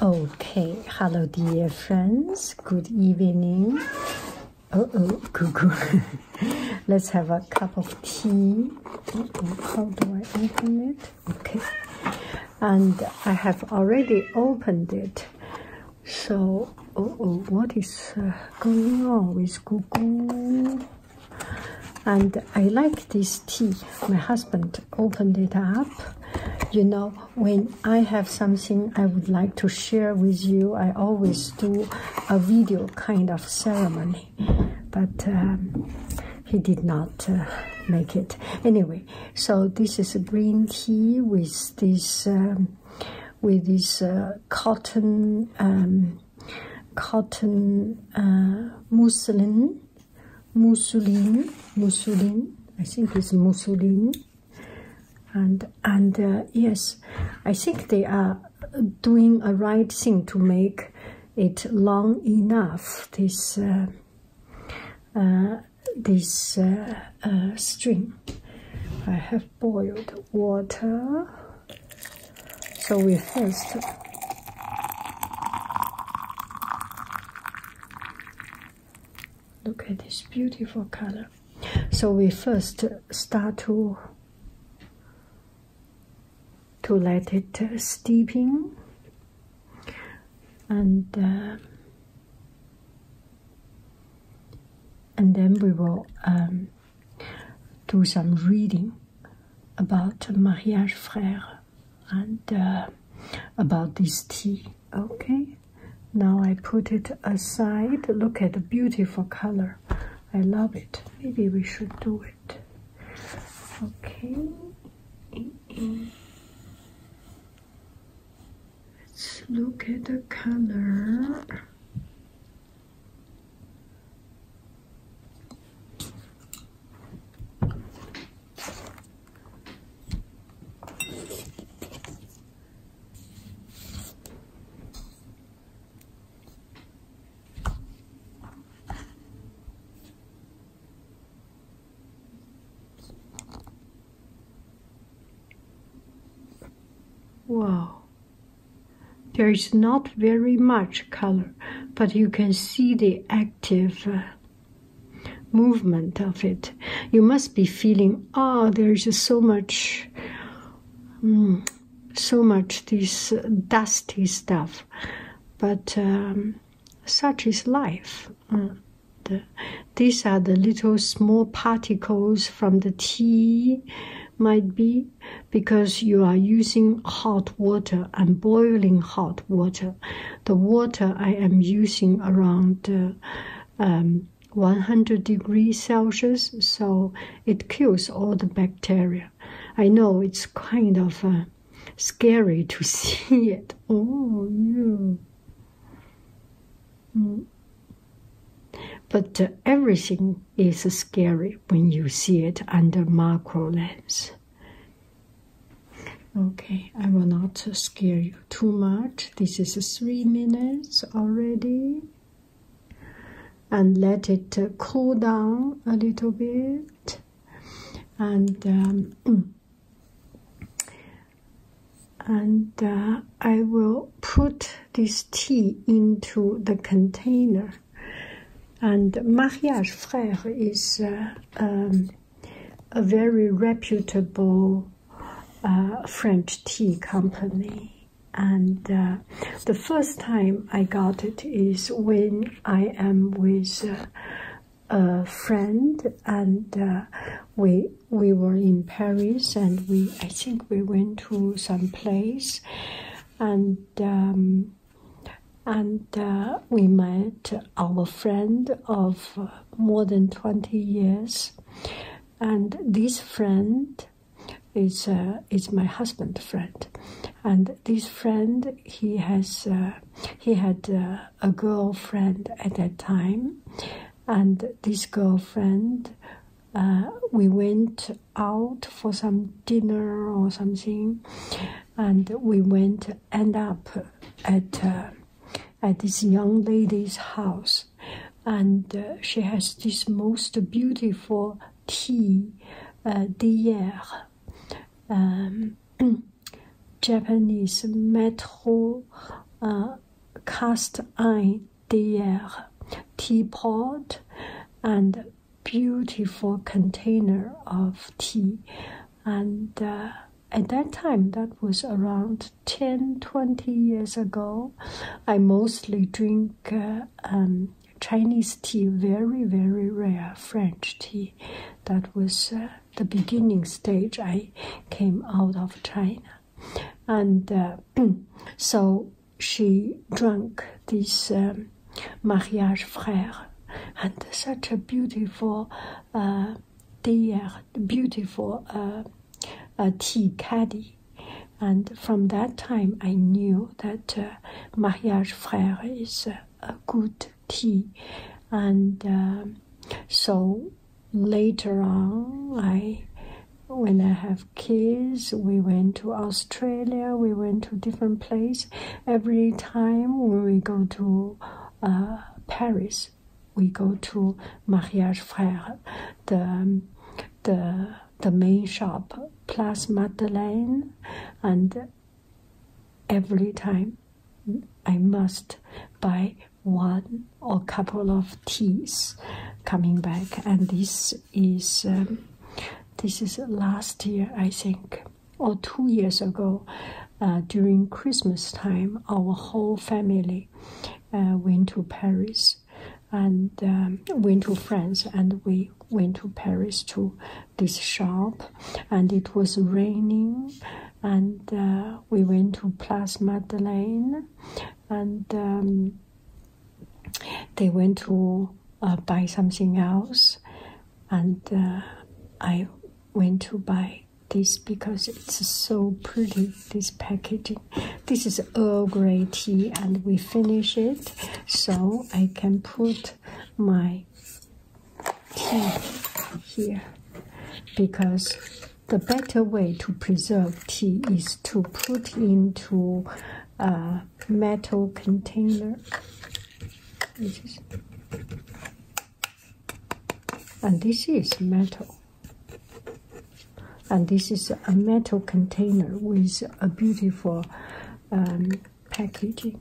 Okay, hello dear friends. Good evening. Uh oh, cuckoo. Let's have a cup of tea. how do I open it? Okay, and I have already opened it. So, uh oh, what is uh, going on with cuckoo? And I like this tea. My husband opened it up you know, when I have something I would like to share with you, I always do a video kind of ceremony. But um, he did not uh, make it. Anyway, so this is green tea with this um, with this uh, cotton um, cotton uh, muslin Mussolini, Mussolini, I think it's Mussolini, and and uh, yes, I think they are doing a right thing to make it long enough. This uh, uh, this string. I have boiled water, so we first Look at this beautiful color. So we first start to to let it uh, steeping and uh, and then we will um, do some reading about mariage frère and uh, about this tea. Okay, now I put it aside. Look at the beautiful color. I love it. Maybe we should do it. Okay. Let's look at the color. Wow, there is not very much color, but you can see the active uh, movement of it. You must be feeling, oh, ah, there's just so much, mm, so much this uh, dusty stuff. But um, such is life. Mm, these are the little small particles from the tea, might be because you are using hot water and boiling hot water the water I am using around uh, um, 100 degrees Celsius, so it kills all the bacteria. I know it's kind of uh, scary to see it. Oh, yeah. Mm. But uh, everything is scary when you see it under macro lens. Okay, I will not scare you too much. This is three minutes already. And let it uh, cool down a little bit. And um, and uh, I will put this tea into the container. And mariage frère is uh, um, a very reputable uh, French tea company. And uh, the first time I got it is when I am with uh, a friend, and we we were in Paris, and we I think we went to some place, and um, and we met our friend of uh, more than 20 years. And this friend is, uh, is my husband friend. And this friend, he, has, uh, he had uh, a girlfriend at that time. And this girlfriend, we went out for some dinner or something, and we went end up at uh, at this young lady's house, and uh, she has this most beautiful tea, uh, deer, um, Japanese metal cast iron d'hier teapot, and beautiful container of tea and uh, at that time that was around 10 20 years ago i mostly drink uh, um, chinese tea very very rare french tea that was uh, the beginning stage i came out of china and so she drank this um, mariage frère and such a beautiful the uh, beautiful uh, tea caddy. And from that time, I knew that uh, Mariage Frère is a good tea. And um, so later on, I when I have kids, we went to Australia, we went to different place. Every time we go to uh, Paris, we go to Mariage Frère, the the the main shop, Place Madeleine, and every time I must buy one or couple of teas coming back, and this is um, this is last year I think or two years ago uh, during Christmas time, our whole family uh, went to Paris and um, went to France, and we went to Paris to this shop, and it was raining, and uh, we went to Place Madeleine, and um, they went to buy something else, and I went to buy this because it's so pretty. This packaging. This is Earl Grey tea, and we finish it, so I can put my tea here because the better way to preserve tea is to put into a metal container and this is metal and this is a metal container with a beautiful um, packaging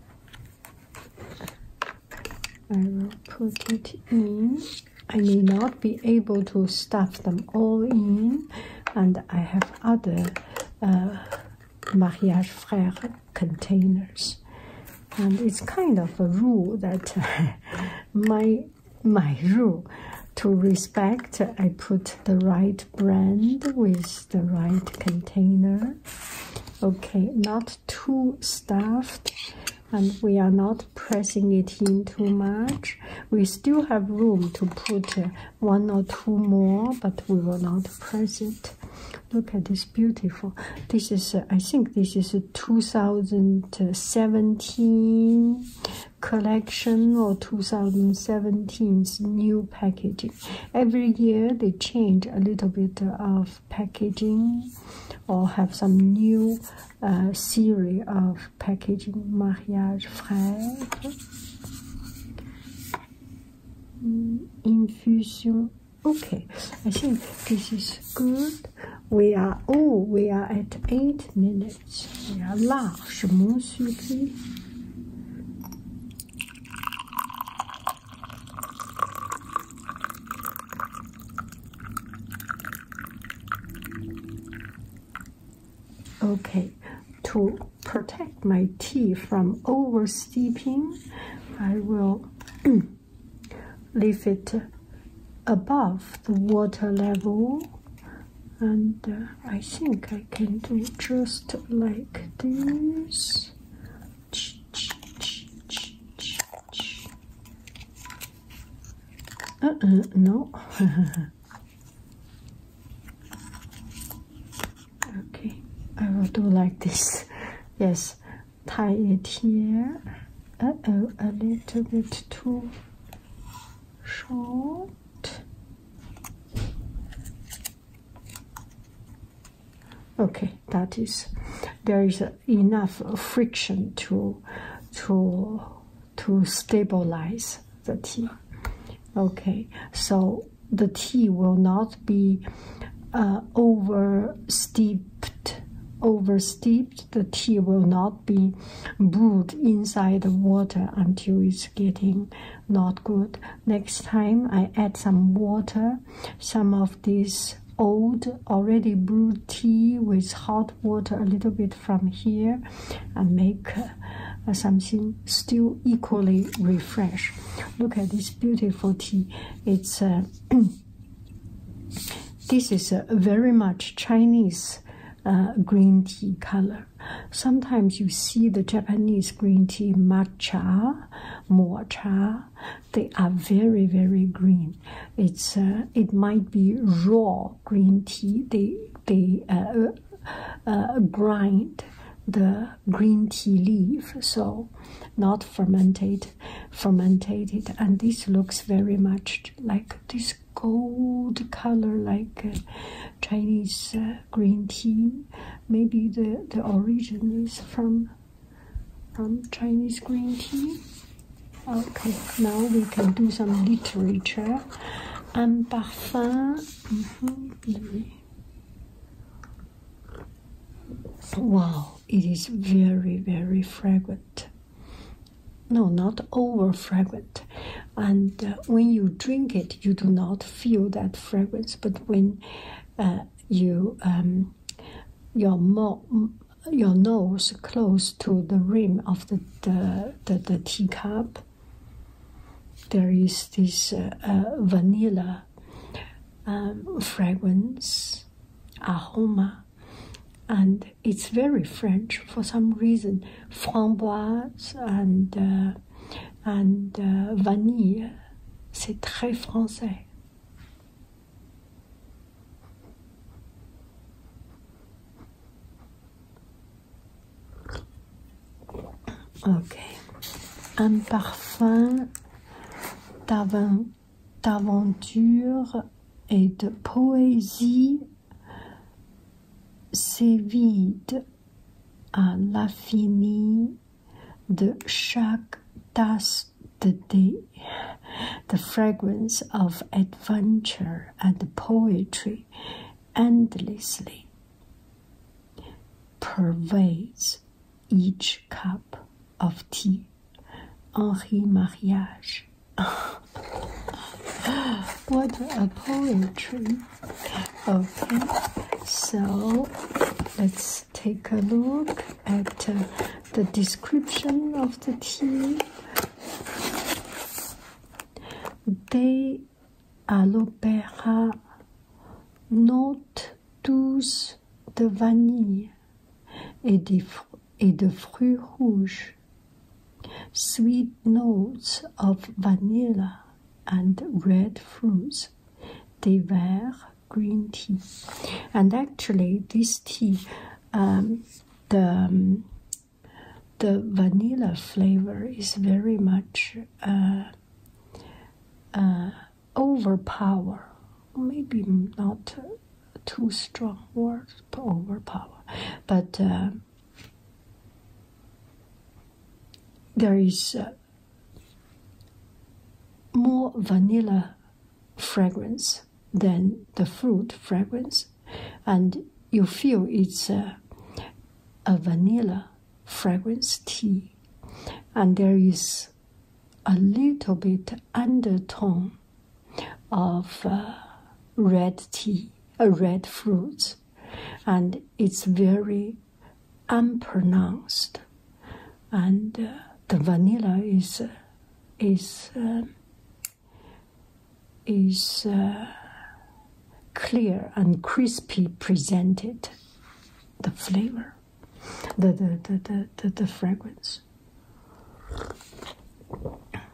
I will put it in I may not be able to stuff them all in and I have other uh, mariage frère containers and it's kind of a rule that my my rule to respect i put the right brand with the right container okay not too stuffed and we are not pressing it in too much we still have room to put uh, one or two more but we will not press it look at this beautiful this is uh, i think this is 2017 collection or 2017's new packaging. Every year they change a little bit of packaging or have some new uh, series of packaging. Mariage frère. Mm, infusion. Okay, I think this is good. We are oh we are at eight minutes. We are là, je m'en Okay, to protect my tea from over steeping, I will leave it above the water level and uh, I think I can do just like this uh-uh, no okay I will do like this yes tie it here. oh, uh, a little bit too short. Okay, that is there is enough friction to to to stabilize the tea. Okay, so the tea will not be uh, over steep oversteeped, the tea will not be brewed inside the water until it's getting not good. Next time I add some water, some of this old already brewed tea with hot water a little bit from here and make uh, something still equally refresh look at this beautiful tea it's uh, This is a very much Chinese uh, green tea color. Sometimes you see the Japanese green tea matcha, mocha. They are very very green. It's uh, it might be raw green tea. They they uh, grind the green tea leaf, so not fermented, fermented and this looks very much like this gold color like uh, Chinese uh, green tea maybe the the origin is from from Chinese green tea okay now we can do some literature and parfum mm-hmm, wow it is very very fragrant no not over fragrant and uh, when you drink it you do not feel that fragrance but when uh, you um, your nose close to the rim of the the, the, the teacup there is this uh, vanilla um, fragrance aroma and it's very French for some reason. Framboise and uh, and uh, vanille, c'est très français. Ok, un parfum d'avant d'aventure et de poésie s'évide à l'infini de chaque tasse de thé. The fragrance of adventure and poetry endlessly pervades each cup of tea. Henri Mariage. what a poetry. Okay, so let's take a look at uh, the description of the tea. They à l'opéra note tous de vanille et des fruits and de fruits rouges. Sweet notes of vanilla and red fruits. They were green tea. And actually, this tea, um, the the vanilla flavor is very much uh, uh overpower. Maybe not too strong word to overpower. But uh, there is uh, more vanilla fragrance than the fruit fragrance, and you feel it's uh, a vanilla fragrance tea, and there is a little bit undertone of uh, red tea, a uh, red fruit, and it's very unpronounced. And uh, the vanilla is is um, is clear and crispy presented. The flavor, the the the, the, the fragrance.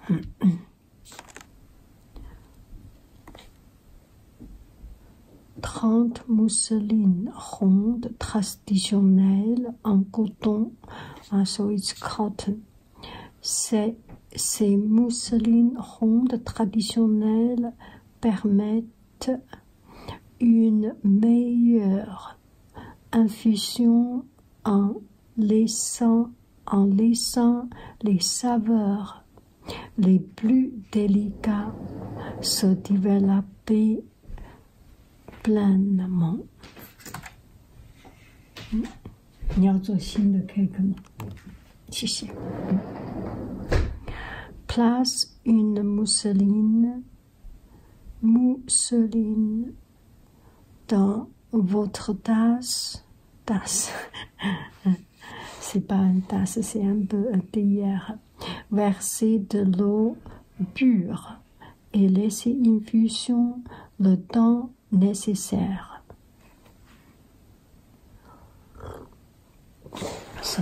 Trente mousselines rondes traditionnelles en coton, en so ces mousselines rondes traditionnelles permettent une meilleure infusion en laissant, en laissant les saveurs les plus délicats se développer pleinement. Place hmm? cake Place une mousseline, mousseline dans votre tasse, tasse, c'est pas une tasse, c'est un peu un théière, versez de l'eau pure et laissez infusion le temps nécessaire. So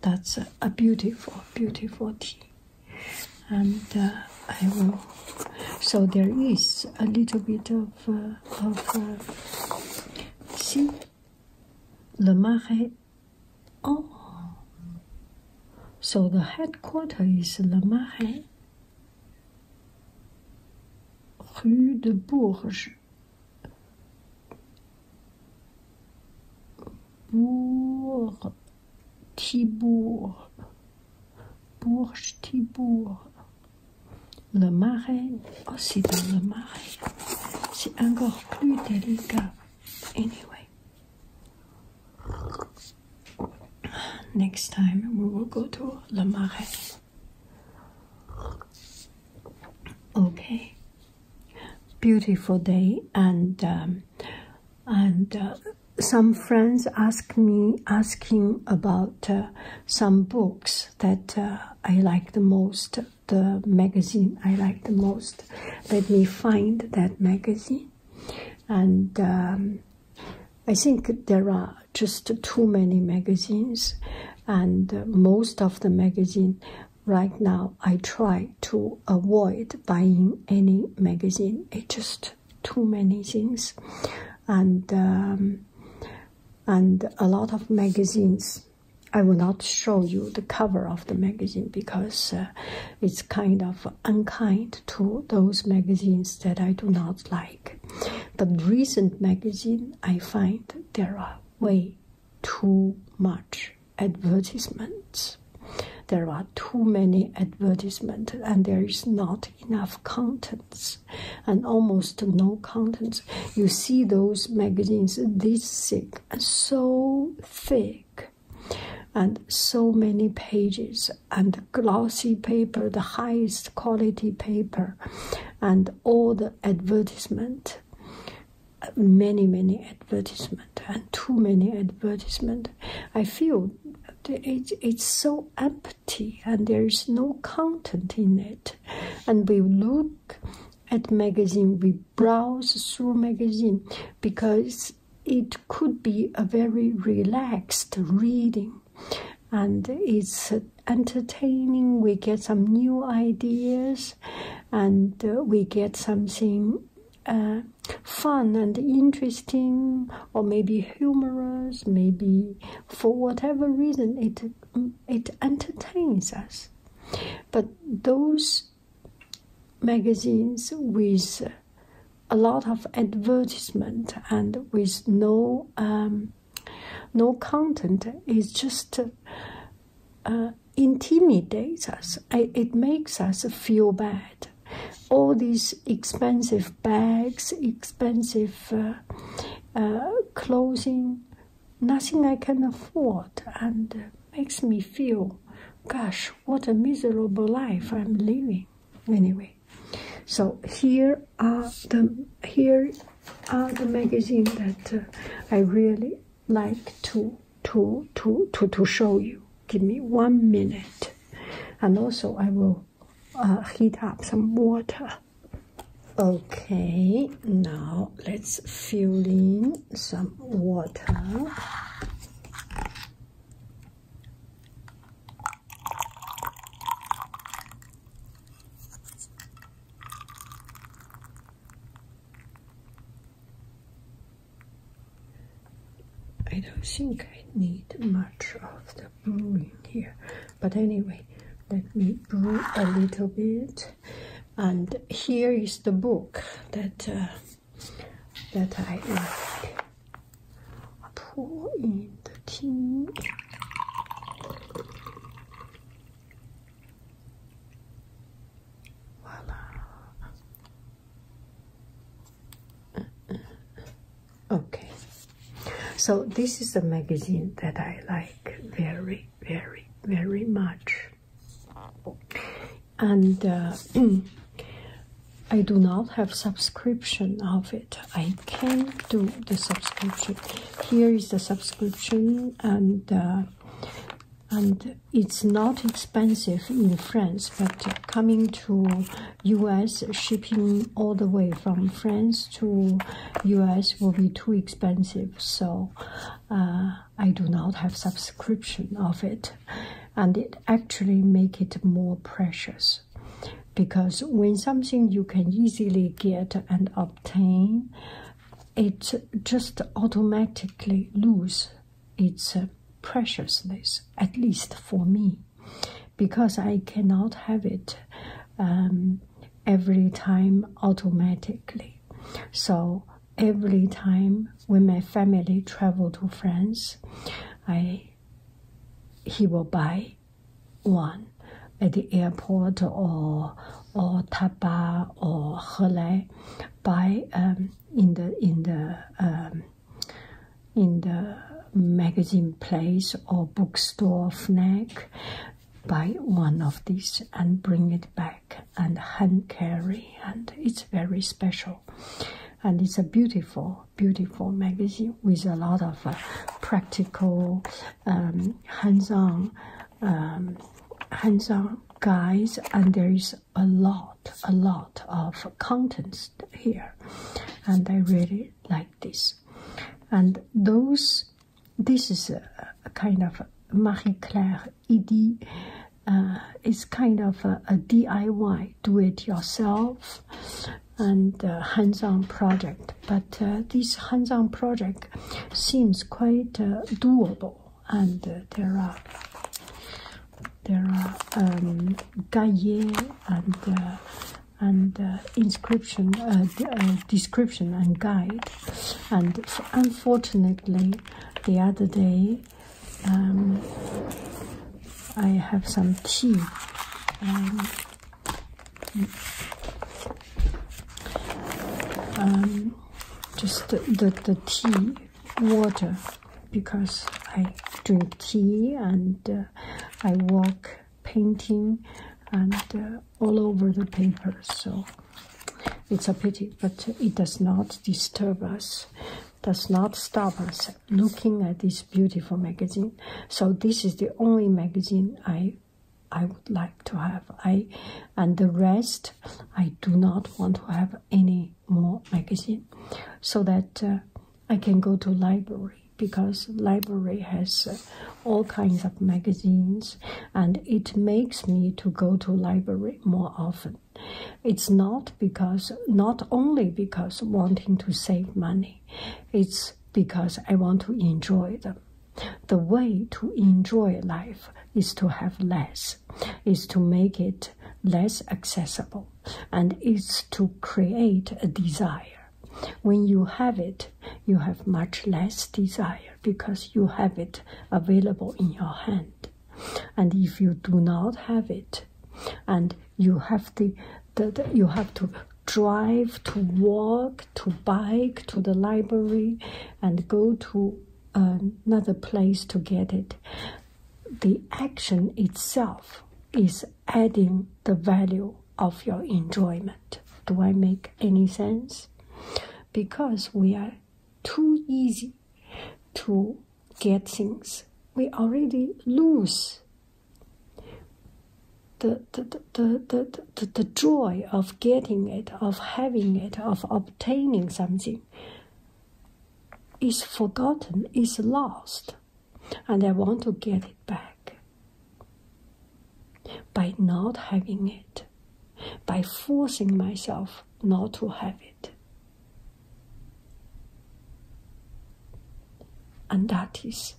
that's a beautiful, beautiful tea. and uh, I will so there is a little bit of uh, of uh, see Le Marais oh so the headquarters is Le Marais Rue de Bourges Bourg Thibourg Bourg-Tibourg, le marais, also in le marais, c'est encore plus délicat. Anyway, next time we will go to le marais. Okay, beautiful day and um, and uh, some friends ask me asking about uh, some books that uh, I like the most, the magazine I like the most. Let me find that magazine. And um, I think there are just too many magazines, and uh, most of the magazine right now I try to avoid buying any magazine. It just too many things and um, and a lot of magazines i will not show you the cover of the magazine because uh, it's kind of unkind to those magazines that i do not like but recent magazine i find there are way too much advertisements there are too many advertisements and there is not enough contents and almost no contents. You see those magazines this thick, so thick, and so many pages, and glossy paper, the highest quality paper, and all the advertisement. Many, many advertisement and too many advertisement. I feel it, it's so empty and there is no content in it. And we look at magazine, we browse through magazine because it could be a very relaxed reading and it's entertaining. We get some new ideas and uh, we get something uh, fun and interesting or maybe humorous, maybe for whatever reason it it entertains us. But those magazines with a lot of advertisement and with no um, no content is just uh, intimidates us. it makes us feel bad all these expensive bags, expensive uh, uh, clothing, nothing I can afford, and uh, makes me feel, gosh, what a miserable life I'm living. Anyway, so here are the here are the magazine that I really like to to to to to show you. Give me one minute, and also I will uh, heat up some water. Okay, now let's fill in some water. I don't think I need much of the of hmm, brewing here. But anyway, let me brew a little bit. And here is the book that uh, that I like. Pour in the tea. Voila. Okay, so this is a magazine that I like very, very, very much, and uh, I do not have subscription of it. I can do the subscription. Here is the subscription, and uh, and it's not expensive in France, but coming to US shipping all the way from France to US will be too expensive, so uh, I do not have subscription of it, and it actually make it more precious because when something you can easily get and obtain, it just automatically lose its preciousness, at least for me because I cannot have it um, every time automatically. So every time when my family travel to France, I he will buy one at the airport or or Taba or Helai buy um, in the in the um, in the magazine place or bookstore snack, buy one of these and bring it back and hand carry, and it's very special. And it's a beautiful, beautiful magazine with a lot of uh, practical, um, hands-on, um, hands-on guys, and there is a lot, a lot of contents here, and I really like this and those this is a, kind of Marie Claire ED uh, kind of a, DIY do it yourself and uh, hands-on project but uh, this hands-on project seems quite uh, doable and there are there are um, and and uh, inscription, uh, uh, description and guide. And unfortunately, the other day, um, I have some tea. Um, um, just the, the, tea, water, because I drink tea and I walk painting and uh, all over the paper. So it's a pity, but it does not disturb us, does not stop us looking at this beautiful magazine. So this is the only magazine I I would like to have. I and the rest I do not want to have any more magazine, so that. Uh, I can go to library because library has uh, all kinds of magazines and it makes me to go to library more often. It's not because not only because wanting to save money, it's because I want to enjoy them. The way to enjoy life is to have less, is to make it less accessible, and is to create a desire when you have it, you have much less desire because you have it available in your hand. And if you do not have it, and you have the, you have to drive to walk to bike to the library and go to uh, another place to get it the action itself is adding the value of your enjoyment. Do I make any sense? Because we are too easy to get things, we already lose the, the, the, the, the, the joy of getting it, of having it, of obtaining something is forgotten, is lost and I want to get it back. By not having it, by forcing myself not to have it. And that is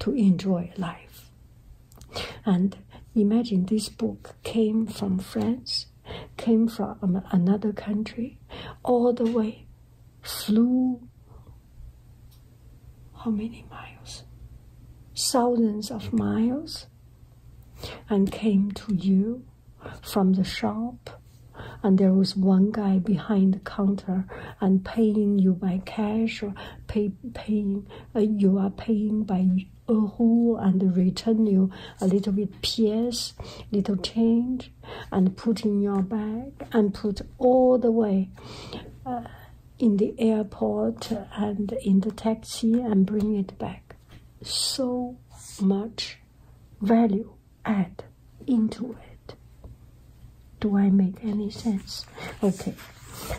to enjoy life. And imagine this book came from France, came from another country, all the way, flew how many miles? Thousands of miles, and came to you from the shop. And there was one guy behind the counter and paying you by cash or paying uh, you are paying by who and return you a little bit piece, little change, and put in your bag and put all the way. Uh, in the airport and in the taxi and bring it back. So much value add into it. Do I make any sense? Okay,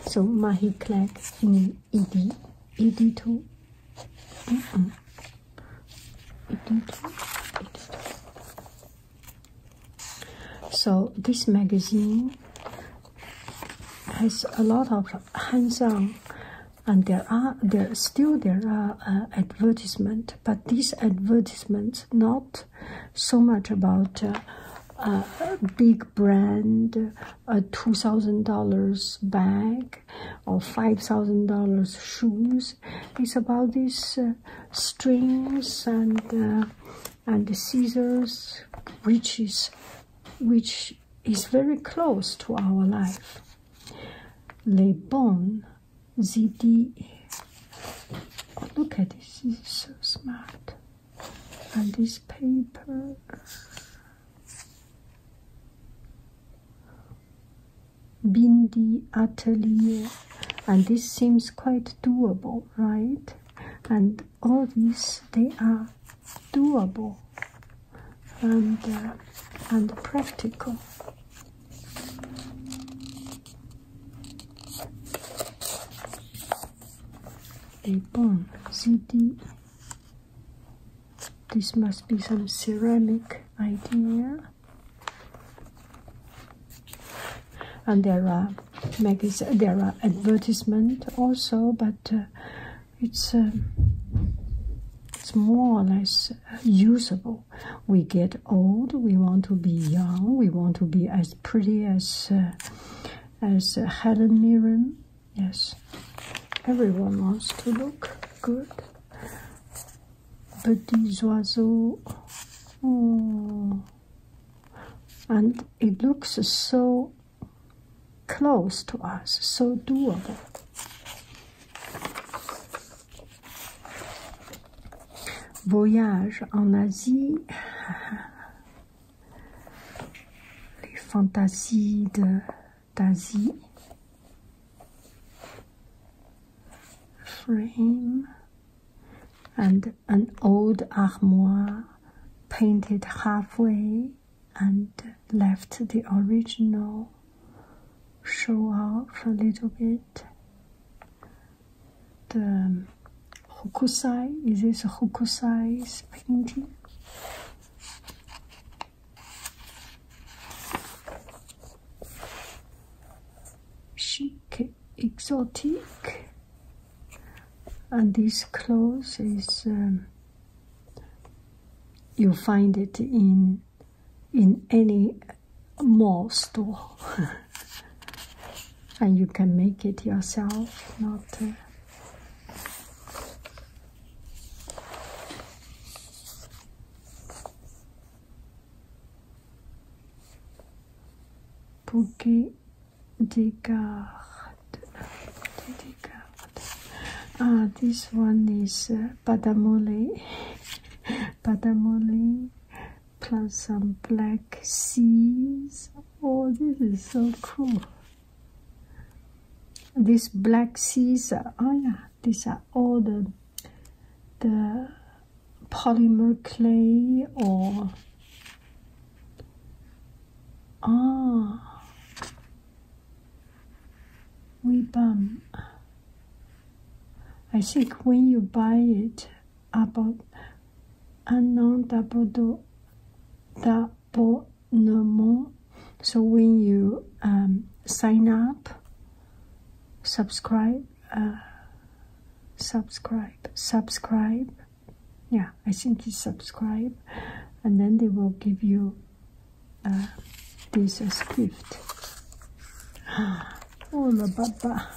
so Mahi Clark in ED, ED2, mm -mm. ED2, ED2. So this magazine has a lot of hands-on, and there are there still there are uh, advertisement, but these advertisements not so much about uh, a big brand, a two thousand dollars bag, or five thousand dollars shoes. It's about these uh, strings and. Uh, and the scissors, which is which is very close to our life. Les bonnes idées. Oh, look at this, this is so smart. And this paper. Bindi Atelier. And this seems quite doable, right? And all these they are doable and uh, and practical. A bone CD. This must be some ceramic idea and there are magazine there are advertisement also but uh, it's uh, it's more or less uh, usable we get old we want to be young we want to be as pretty as as helen mirren yes everyone wants to look good But these oiseaux. Oh, and it looks so close to us, so doable. Voyage en Asie, les fantasies de d'Asie, frame, and an old armoire painted halfway and left the original show off a little bit. The Hokusai, is this Hokusai's painting? exotic. And this clothes is um, you find it in in any mall store, and you can make it yourself. Not. Uh, Descartes. Ah, this one is uh, Badamole. plus some black seas. Oh, this is so cool. These black seas, oh yeah, these are all the the polymer clay or Ah, we bum. I think when you buy it, about un no more. So when you sign up, subscribe, subscribe, subscribe yeah i think you subscribe and then they will give you uh, this as gift oh la baba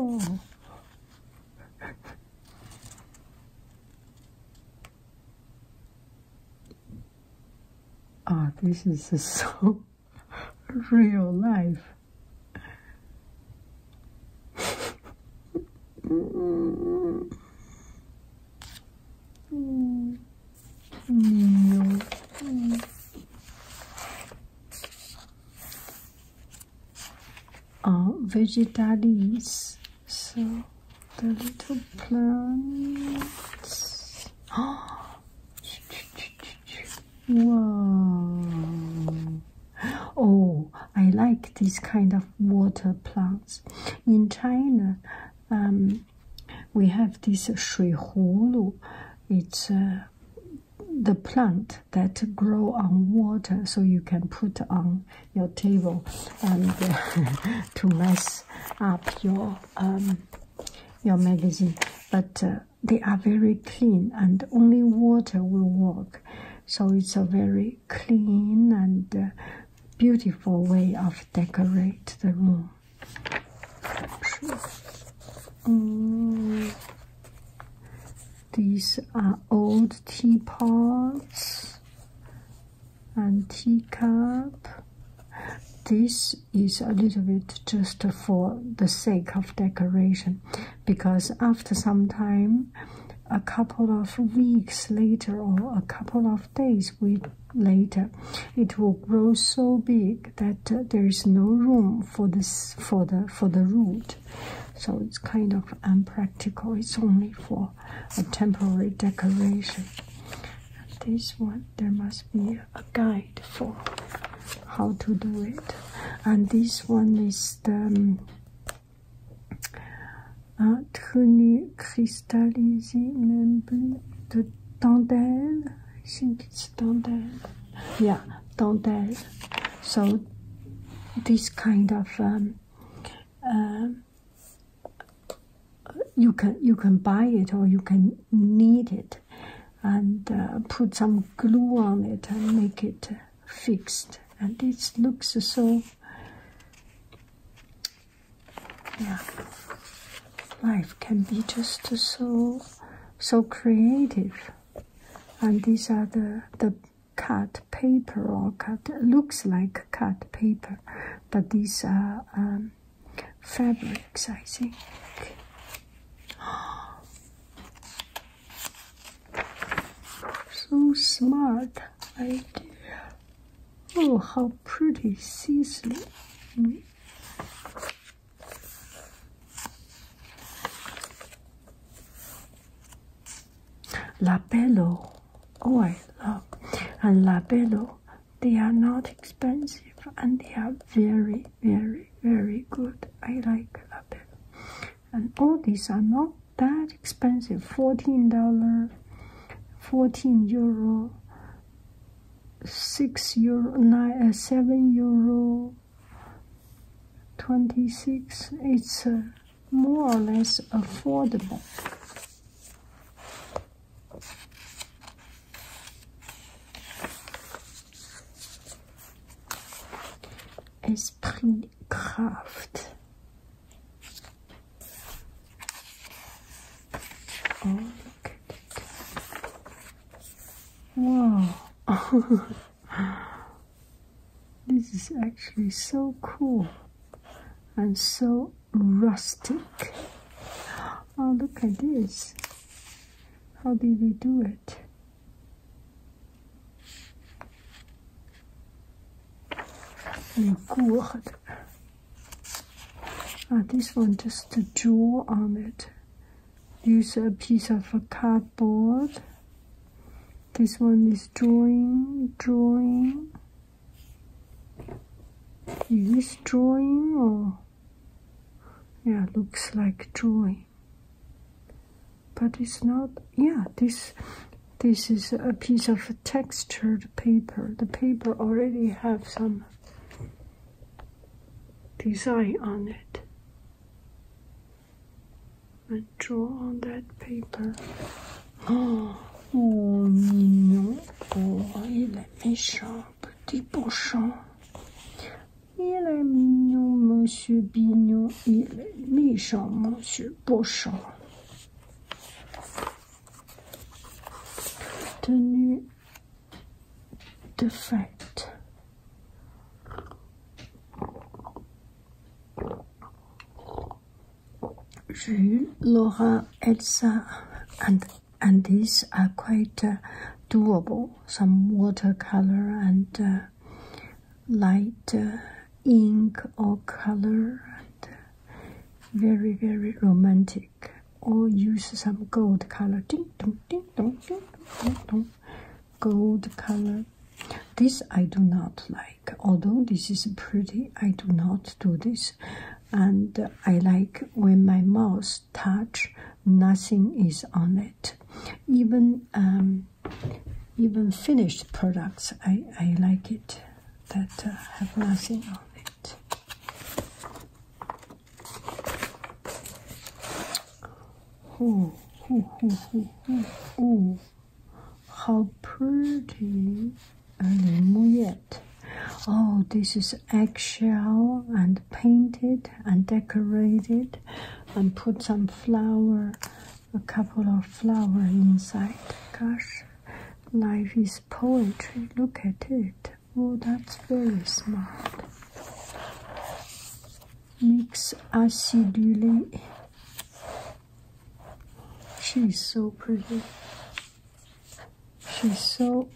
oh Ah, this is so real life. Are oh, vegetarians so the little plants. Whoa! Oh, I like this kind of water plants. In China, um, we have this shuihulu. It's uh, the plant that grow on water, so you can put on your table and to mess up your um, your magazine, but uh, they are very clean and only water will work. So it's a very clean and uh, beautiful way of decorate the room. Mm. These are old teapots and teacup. This is a little bit just for the sake of decoration because after some time, a couple of weeks later or a couple of days later, it will grow so big that uh, there is no room for this for the for the root. So it's kind of impractical. It's only for a temporary decoration. this one, there must be a guide for how to do it and this one is the um, uh, tenue cristallisée même the tandem I think it's tandem yeah tandem so this kind of um, uh, you can you can buy it or you can knead it and uh, put some glue on it and make it fixed and it looks so yeah life can be just so so creative and these are the the cut paper or cut looks like cut paper but these are um, um, fabrics, I think. so smart idea. Oh, how pretty see-through. Mm. oh I love, and labello they are not expensive and they are very, very, very good. I like a lot. And all these are not that expensive. Fourteen dollar, fourteen euro, six euro, nine, uh, seven euro, twenty six. It's uh, more or less affordable. Esprit Kraft. Oh, wow. this is actually so cool and so rustic. Oh, look at this. How did they do it? My ah, this one, just the jewel on it. Use a piece of cardboard. This one is drawing, drawing. Is this drawing or? yeah looks like drawing, but it's not yeah this this is a piece of textured paper the paper already have some design on it I draw on that paper oh, oh no boy oh, let me show petit pochon. Il est mignon, monsieur Bignon. Il est méchant, monsieur Pochon. Tenue de fête. Jules, Laura, Elsa, and these are quite uh, doable some watercolor and uh, light uh, ink or color and uh, very very romantic or use some gold color ding, dong, ding, dong, ding, dong, dong. gold color this i do not like although this is pretty i do not do this and i like when my mouse touch, nothing is on it. Even um, even finished products, I, I like it that uh, have nothing on it. Oh, oh, oh, oh, oh. How pretty! 呃，林木叶，Oh, this is eggshell and painted and decorated, and put some flower, a couple of flower inside. Gosh, life is poetry. Look at it. Oh, that's very smart. Mix acidulé. She's so pretty. She's so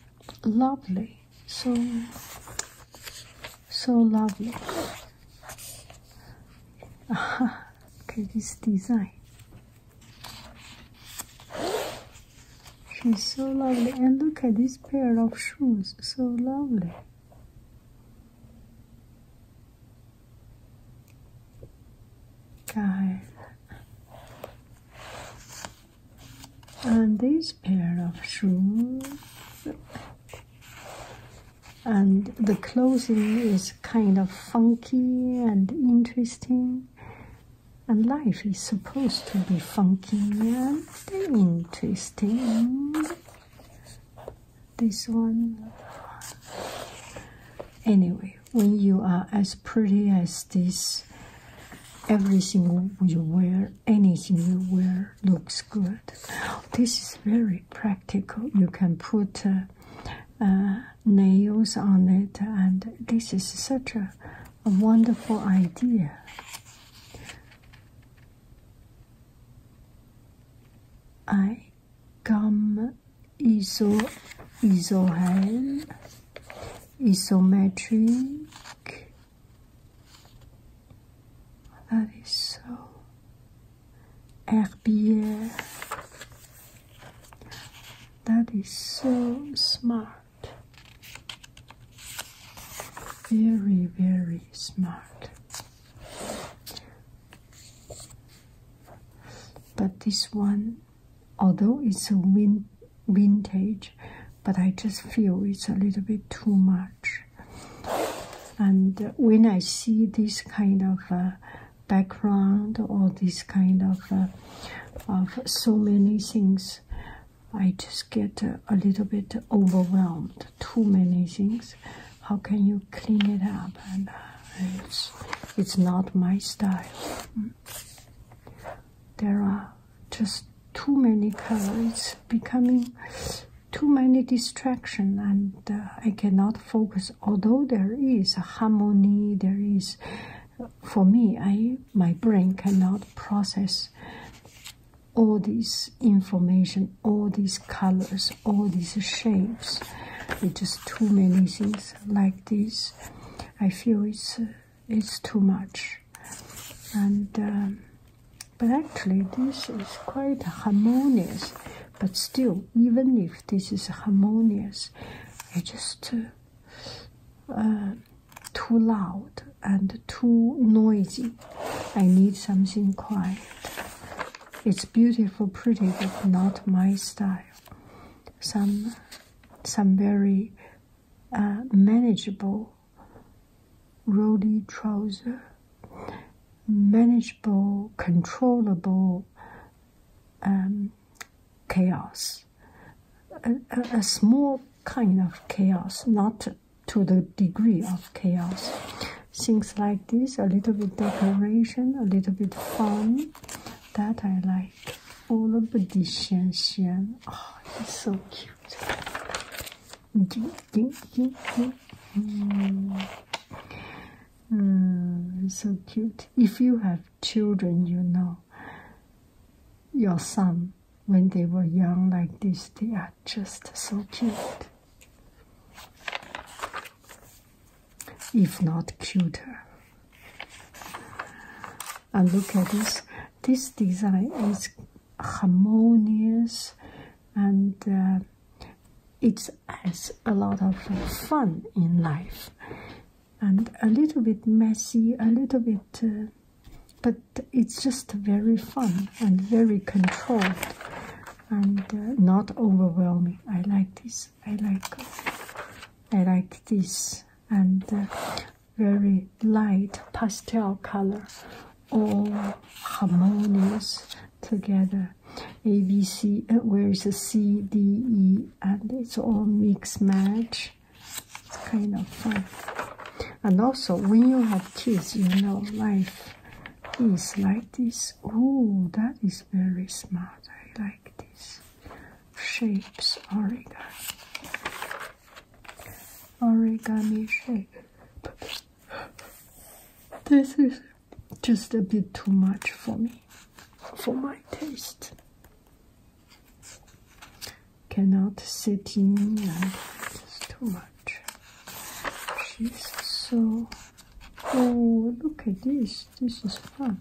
lovely so so lovely Aha. at this design she's so lovely and look at this pair of shoes so lovely God and this pair of shoes and the clothing is kind of funky and interesting and life is supposed to be funky and interesting this one anyway when you are as pretty as this everything you wear Anything you wear looks good. This is very practical. You can put uh, nails on it, and this is such a, wonderful idea. I come iso isohel isometric that is so Herbier. That is so smart. Very, very smart. But this one, although it's a wind vintage, but I just feel it's a little bit too much. And when I see this kind of uh, background or this kind of uh, of so many things, I just get a little bit overwhelmed. Too many things. How can you clean it up? And uh, it's it's not my style. Mm. There are just too many colors becoming too many distraction and uh, i cannot focus although there is a harmony there is for me i my brain cannot process all this information all these colors all these shapes it's just too many things like this i feel it's uh, it's too much and um, but actually this is quite harmonious but still even if this is harmonious it's just uh, um, too loud and too noisy i need something quiet it's beautiful pretty but not my style some some very uh, manageable Rody trouser, manageable, controllable um, chaos. A, small kind of chaos, not to the degree of chaos. Things like this, a little bit decoration, a little bit fun, that I like. All Oh, it's so cute so cute. If you have children, you know your son when they were young like this, they are just so cute. If not cuter. And look at this. This design is harmonious and uh, it has a lot of fun in life and a little bit messy a little bit uh, but it's just very fun and very controlled and uh, not overwhelming i like this i like i like this and very light pastel color, all harmonious together. A, B, C, C, uh, where is the C D E? and it's all mix match. It's kind of fun. And also, when you have kids, you know life is like this. Oh, that is very smart. I like this. Shapes origami origami shape. But this is just a bit too much for me, for my taste. Cannot sit in and it's too much. She's so. Oh, look at this. This is fun.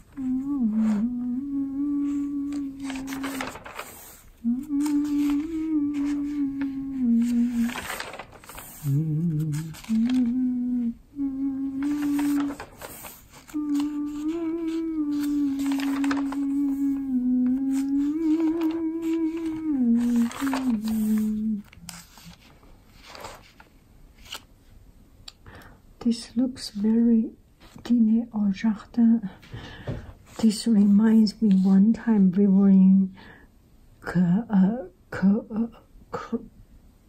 This looks very dîner au jardin. This reminds me one time we were in uh, uh,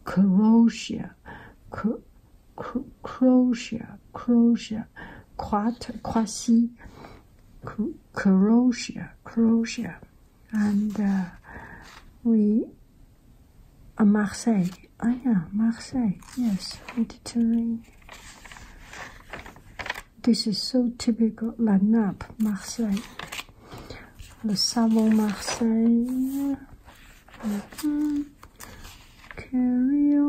Croatia. Croatia, Croatia, Croatia, Croatia, Croatia, and uh, we uh, Marseille. Ah, yeah, Marseille. Yes, Mediterranean. This is so typical. La Nappe, Marseille. Le Savon, Marseille. Mm Carry on.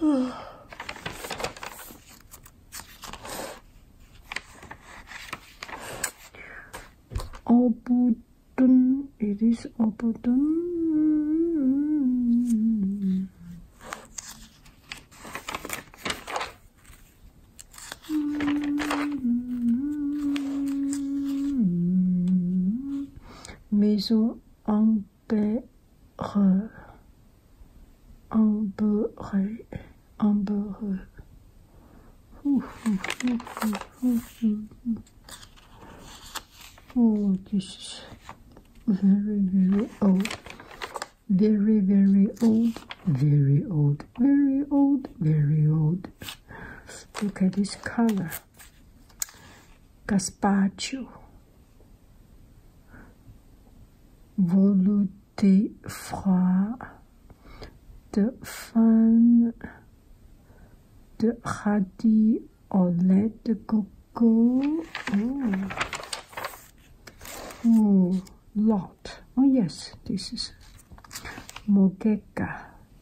Obudun. It is Obudun. Maison Angre. Amber, amber. Oh, this is very, very old. Very, very old. Very old. Very old. Very old. Look at this color. Gaspacho. Volu the froids, the fan, the radis au lait de coco. Oh, oh lot. Oh yes, this is Mogeka,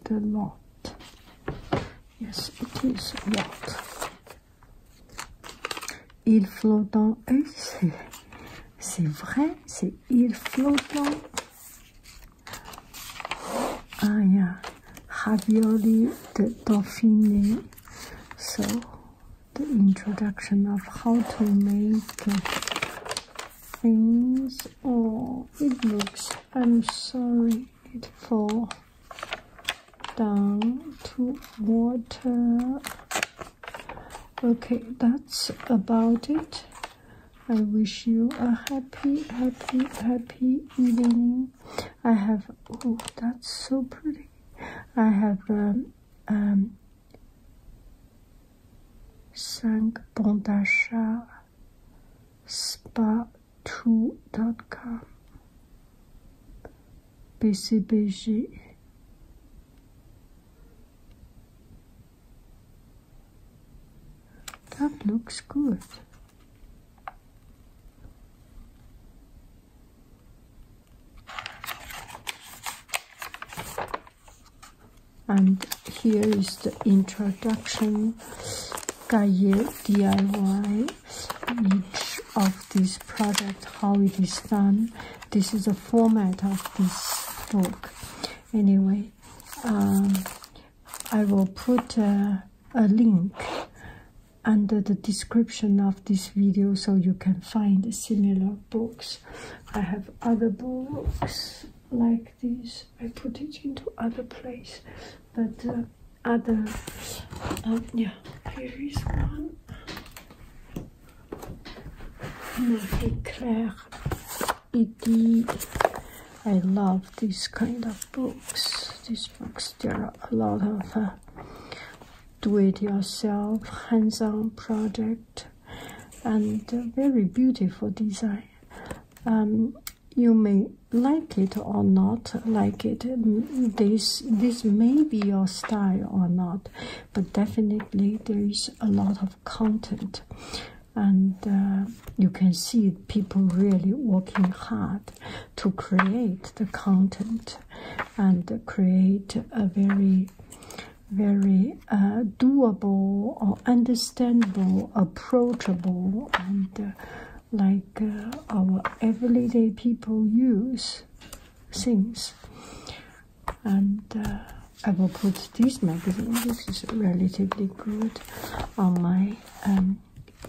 the lot. Yes, it is lot. Il flottant. Euh, c'est vrai, c'est It's true. Ah, yeah. Ravioli de Dauphiné. So, the introduction of how to make things. Oh, it looks, I'm sorry, it falls down to water okay that's about it i wish you a happy happy happy evening i have oh that's so pretty i have um, um Cinq bon d'achat spa2.com busy, That looks good. And here is the introduction Gaye DIY. Each this project, how it is done. This is the format of this book. Anyway, um, I will put a link under the description of this video so you can find similar books. I have other books like this. I put it into other place, but uh, other, uh, yeah, here is one really clear I love this kind of books these books there are a lot of uh, do-it-yourself hands-on project and uh, very beautiful design um, you may like it or not like it mm, this this may be your style or not but definitely there is a lot of content and uh, you can see people really working hard to create the content and create a very very uh, doable or understandable approachable and uh, like our everyday people use things and uh, I will put this magazine, which is relatively good, on my um,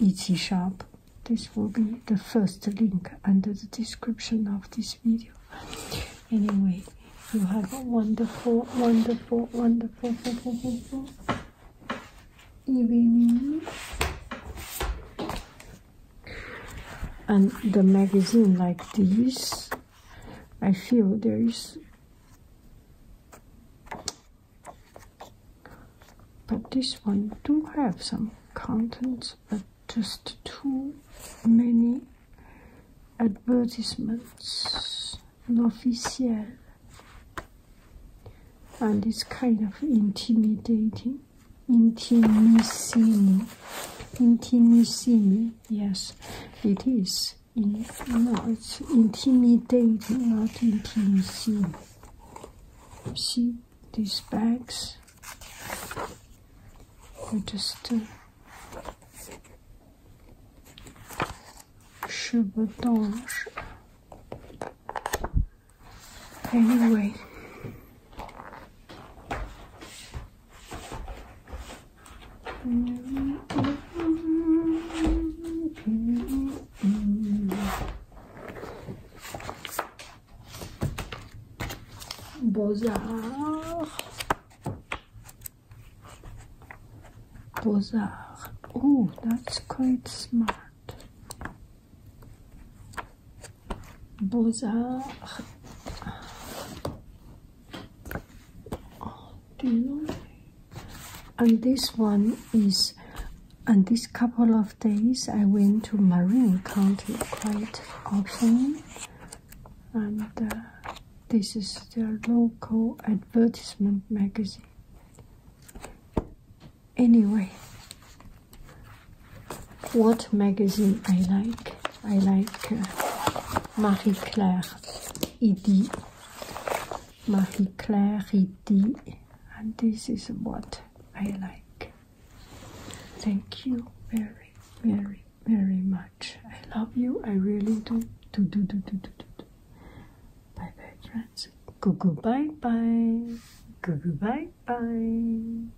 Etsy shop. This will be the first link under the description of this video. Anyway, you have a wonderful, wonderful, wonderful, wonderful evening and the magazine like this I feel there is but this one do have some contents, but just too many advertisements l'officiel and it's kind of intimidating Intimissimi. Intimissimi. Yes, it is. no, it's intimidating, not intimissimi. See these bags? I just Chevaudange. Uh, anyway, Beaux-Arts. Oh, that's quite smart beaux and this one is and this couple of days I went to Marin County quite often and uh, this is their local advertisement magazine anyway what magazine I like. I like uh, Marie Claire ED. Marie Claire ED. And this is what I like. Thank you very, very, very much. I love you. I really do. Bye bye, friends. Goo goo bye bye. Goo bye bye.